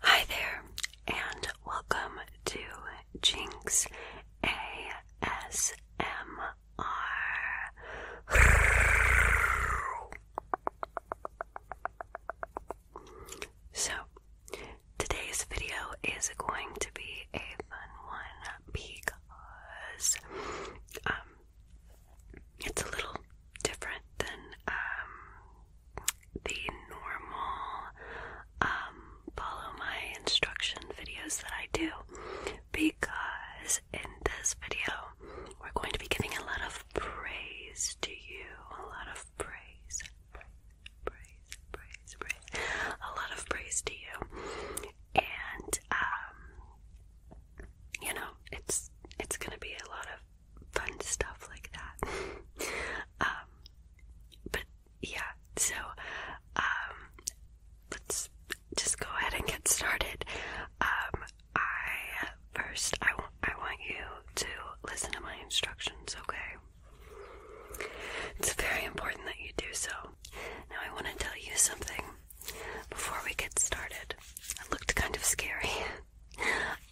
Hi there, and welcome to Jinx ASMR. So, today's video is going to be a fun one because, um, it's a little different than um, the normal um, follow my instruction videos that I do because in this video we're going to be giving a lot of praise to you, a lot of praise, praise, praise, praise, a lot of praise to you, and um, you know, it's it's gonna be a lot of fun stuff like that. Um, but yeah, so um, let's just go ahead and get started. Um, I first I want I want you to listen to my instructions, okay? It's very important that you do so. Now I want to tell you something before we get started, it looked kind of scary.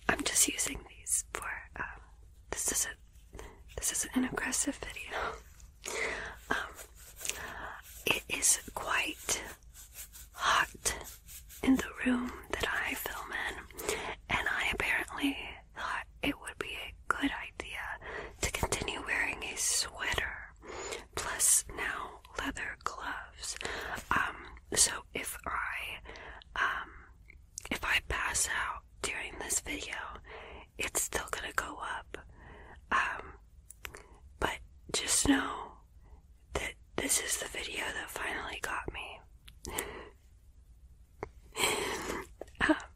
I'm just using these for um, this is a this is an aggressive video. Um, it is quite hot in the room that I film in, and I apparently thought it would be a good idea to continue wearing a sweater plus now leather gloves. Um, so if I um, if I pass out during this video, it's still gonna go up. Um, but just know that this is the video that finally got me. Ah,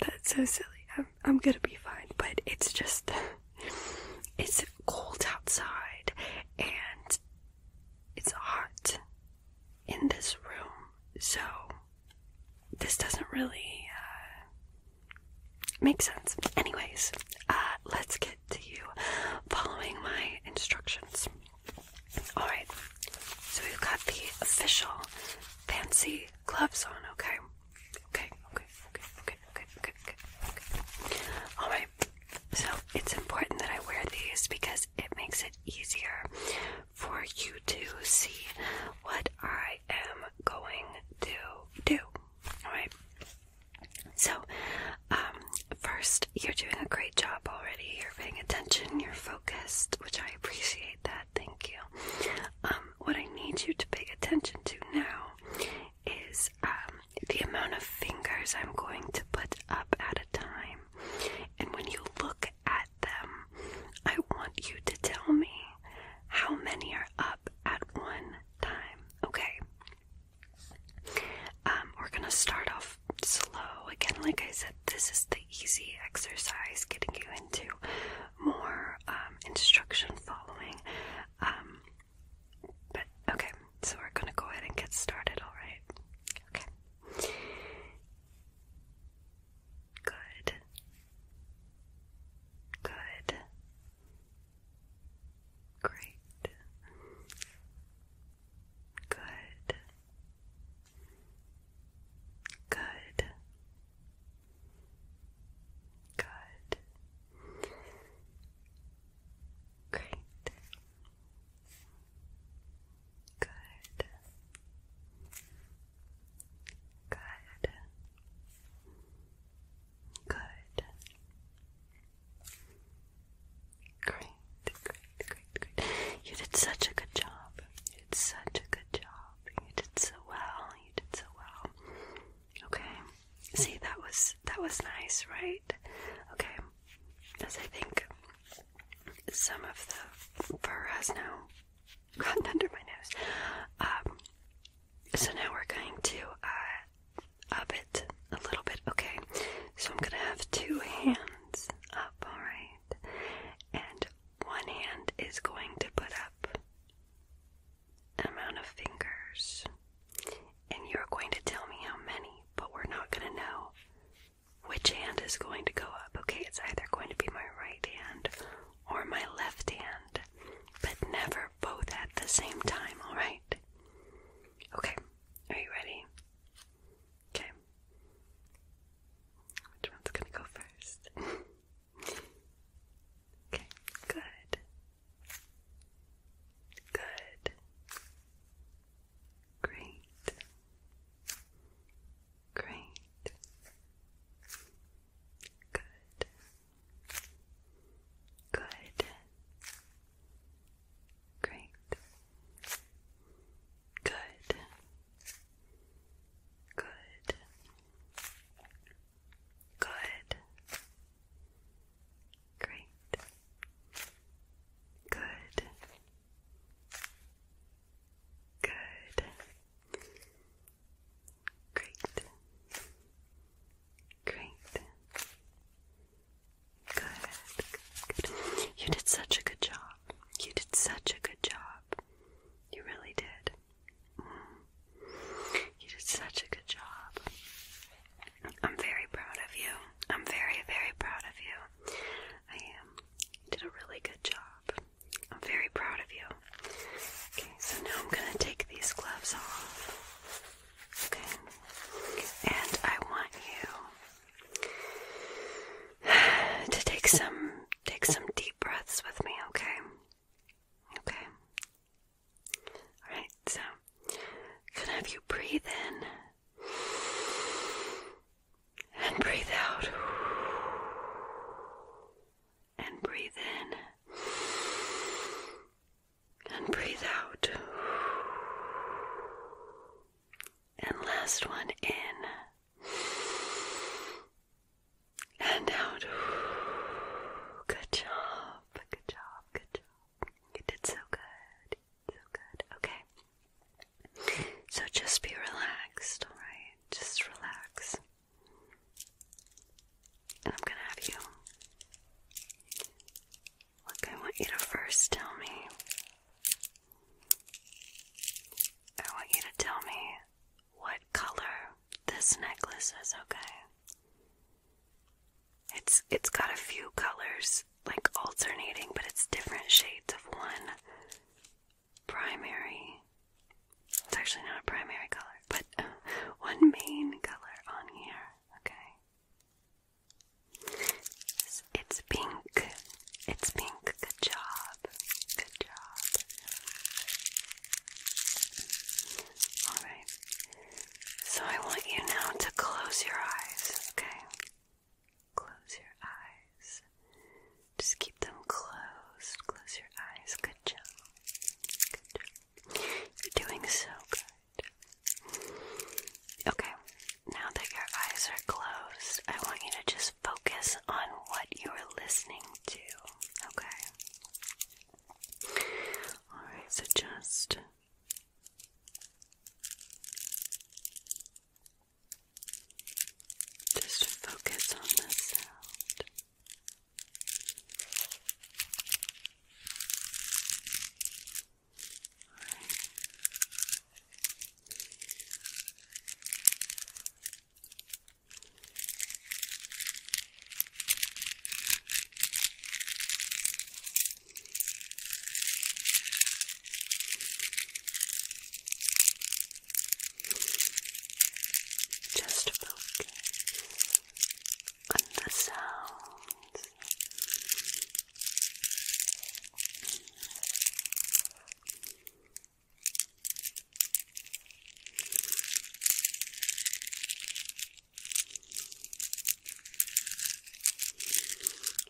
that's so silly. I'm, gonna be fine, but it's just it's cold outside and it's hot in this room, so this doesn't really uh, make sense. Anyways, uh, let's get to you following my instructions. Alright, so we've got the official fancy gloves on, okay? Okay, okay, okay, okay, okay, okay, okay, Alright, so it's important that I wear these because it makes it easier for you to see what I am going to do. Alright? So, um, first, you're doing a great job already. You're paying attention, you're focused, which I appreciate that. Thank you. Um, what I need you to pay attention to now is um, the amount of fingers I'm going to put up at a time. And when you look at them, I want you to tell me how many are up at one time. Okay. Um, we're gonna start off slow. Again, like I said, this is the easy exercise getting you into more um, instruction following. Um, but okay, so we're gonna go ahead and get started, alright? Okay. Good. Good. Great. Good. Good. Good. Great. Good. Good. Good. Great, great, great, great. You did such a good job. You did such a good job. You did so well. You did so well. Okay. See, that was that was nice, right? Okay. As I think some of the fur has now gotten under my nose. Um, so now we're going to uh, up it a little bit. Okay. So I'm gonna have two hands up. All right. And one hand is going to put up amount of fingers, and you're going to tell me how many, but we're not going to know which hand is going to go up. Okay, it's either going to be my right hand or my left hand, but never both at the same time, alright? Okay, are you ready? Okay. Which one's gonna go first? Okay, good. Good. Great. Great. Good. Good. Great. Good. Good. Good. Great. Good. Good. Great. Great. Good. Good. You did such a good job. You did such a good job. You really did. Mm. You did such a good job. I'm very proud of you. I'm very, very proud of you. I am. You did a really good job. I'm very proud of you. Okay, so now I'm going to take these gloves off. Okay? And I want you to take some Take some deep breaths with me, okay? Okay. Alright, so can I have you breathe in and breathe out and breathe in and breathe out. And last one in and out. Good job. Good job. Good job. You did so good. So good. Okay. So just be relaxed, alright? Just relax. And I'm gonna have you look, I want you to first tell me I want you to tell me what color this necklace is, okay? It's it's got a few colors like alternating, but it's different shades of one primary. It's actually not a primary color, but one main color on here, okay? it's pink. It's pink. Good job. Good job. Alright. So I want you now to close your eyes, okay? Close your eyes. Just keep them closed. Close your eyes. Good job. Good job. You're doing so good. Okay, now that your eyes are closed, I want you to just focus on what you are listening to, okay? Alright, so just. Just focus on the sound. All right. Just focus on the sounds.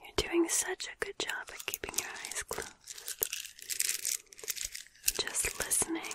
You're doing such a good job at keeping your eyes closed. Just listening.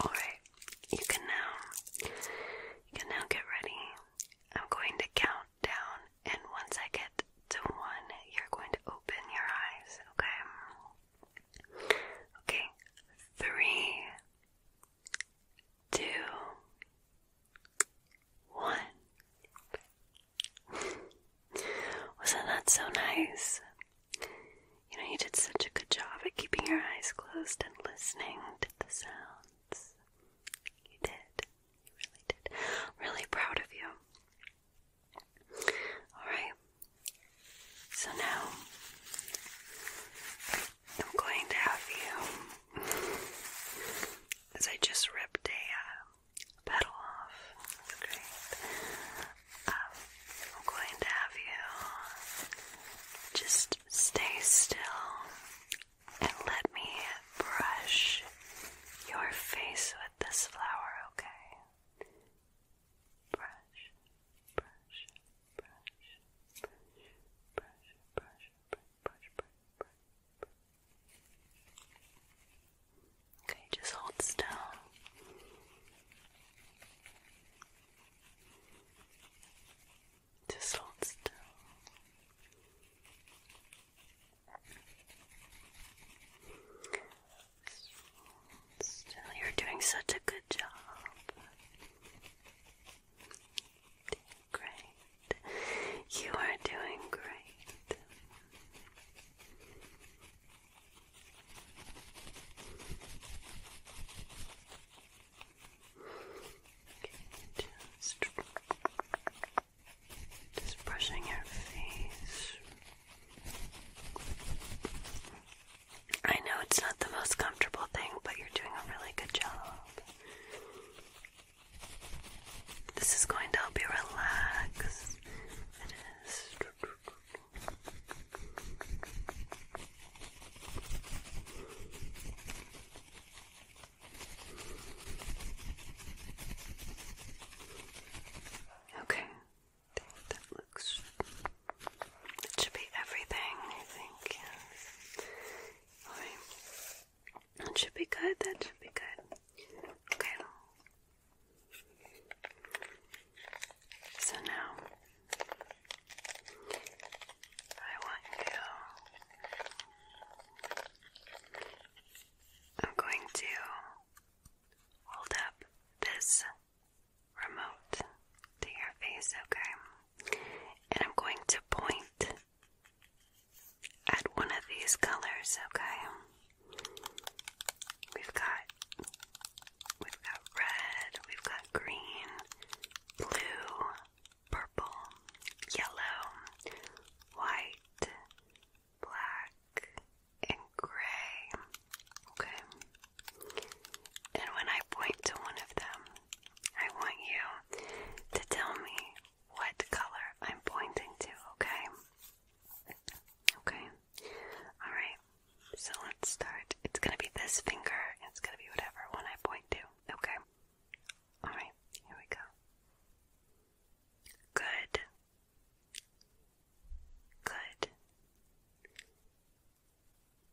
All right, you can now you can now get ready. I'm going to count down, and once I get to one, you're going to open your eyes. Okay. Okay. Three, two, one. Wasn't that so nice? You know, you did such a good job at keeping your eyes closed and listening to the sounds. You did. You really did. really proud of you. Alright, so now I'm going to have you, as I just ripped a uh, petal off, that's um, I'm going to have you just stay still and let me brush your face with this flower, okay? Brush, brush, brush, brush, brush, brush, brush, brush, brush. Okay, just hold still. Just hold still you're doing such a good job. Great. You are doing great. just, just brushing your face. I know it's not the most comfortable thing, but you're doing a really good job. This is going to help you relax. It is. Okay, that looks. It should be everything, I think. should be good. That should be good. Okay. So now I want you. I'm going to hold up this remote to your okay? And I'm going to point at one of these colors, okay? We've got we've got red, we've got green, blue, purple, yellow, white, black, and gray. Okay. And when I point to one of them, I want you to tell me what color I'm pointing to, okay? Okay. All right. So let's start. It's going to be this finger. It's going to be whatever one I point to. Okay. All right. Here we go. Good. Good.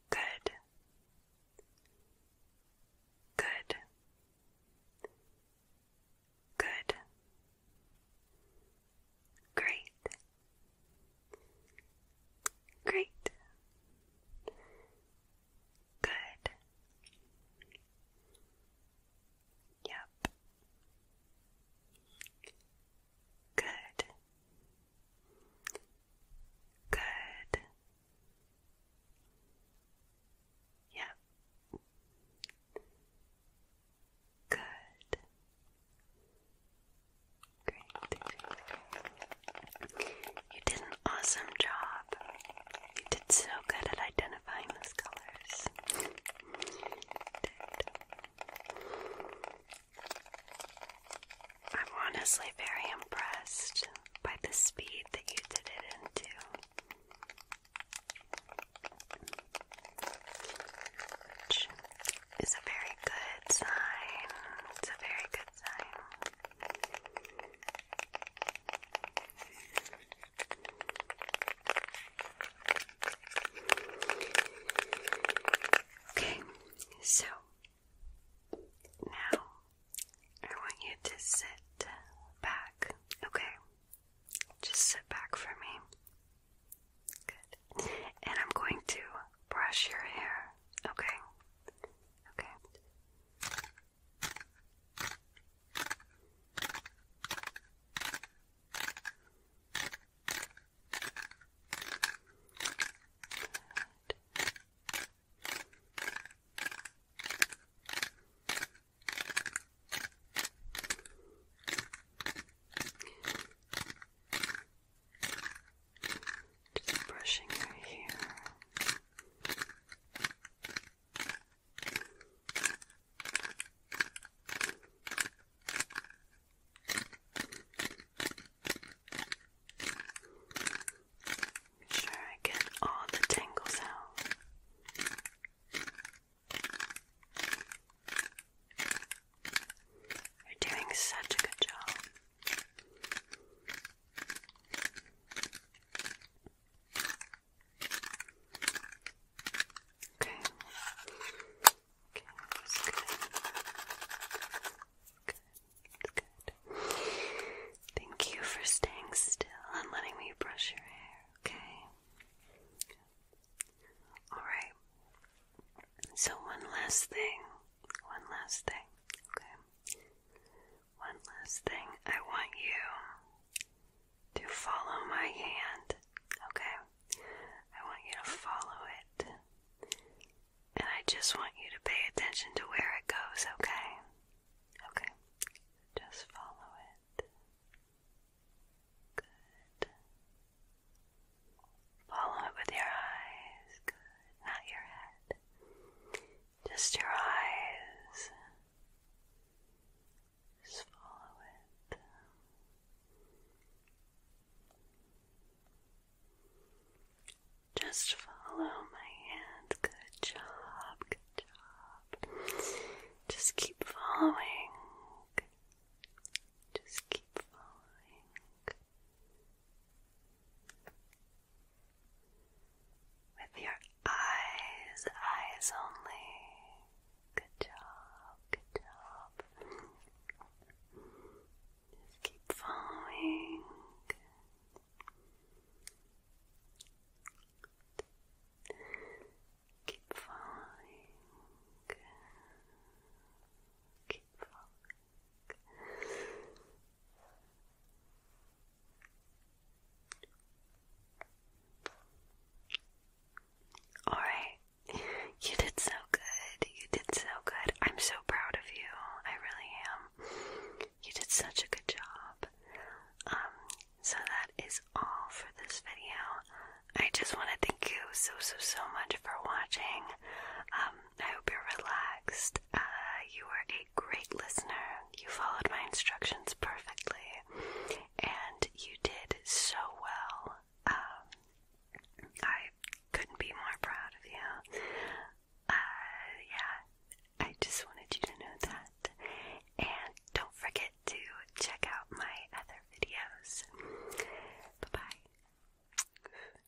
Good. Good. Good. Great. Great. Good. Yep. Good. Good. Yep. Good. Great. You did an awesome job. You did so good at identifying those colors. I'm honestly very impressed by the speed that you did it in. Which is a very good sign. It's a very good sign. Okay, so now I want you to sit back, okay? Just sit back for me. Good. And I'm going to brush your hair, okay? Okay. Just brushing your hair. Make sure I get all the tangles out. You're doing such a good job. Okay. Okay, good. Good, good. Thank you for staying still and letting me brush your hair, okay? Alright. So, one last thing. One last thing, okay? One last thing. I want you to follow my hand, okay? I want you to follow it. And I just want you to pay attention to where it goes, okay? Okay. Just follow it. Good. Follow it with your eyes. Good. Not your head. Just your eyes. Just follow it. Just follow my hand. Good job. Good job. Just keep following. Just keep following. With your eyes, eyes only. Good job, good job. Just keep following. Keep following. Keep following. Alright. You did so good. You did so good. I'm so proud of you. I really am. You did such a good job. Um, so that is all for this video. I just want to thank you so, so, so much for watching. Um, I hope you're relaxed. Uh, you were a great listener. You followed my instructions perfectly and you did so well. Um, I couldn't be more proud of you. Uh, yeah, I just wanted you to know that. And don't forget to check out my other videos. Bye bye.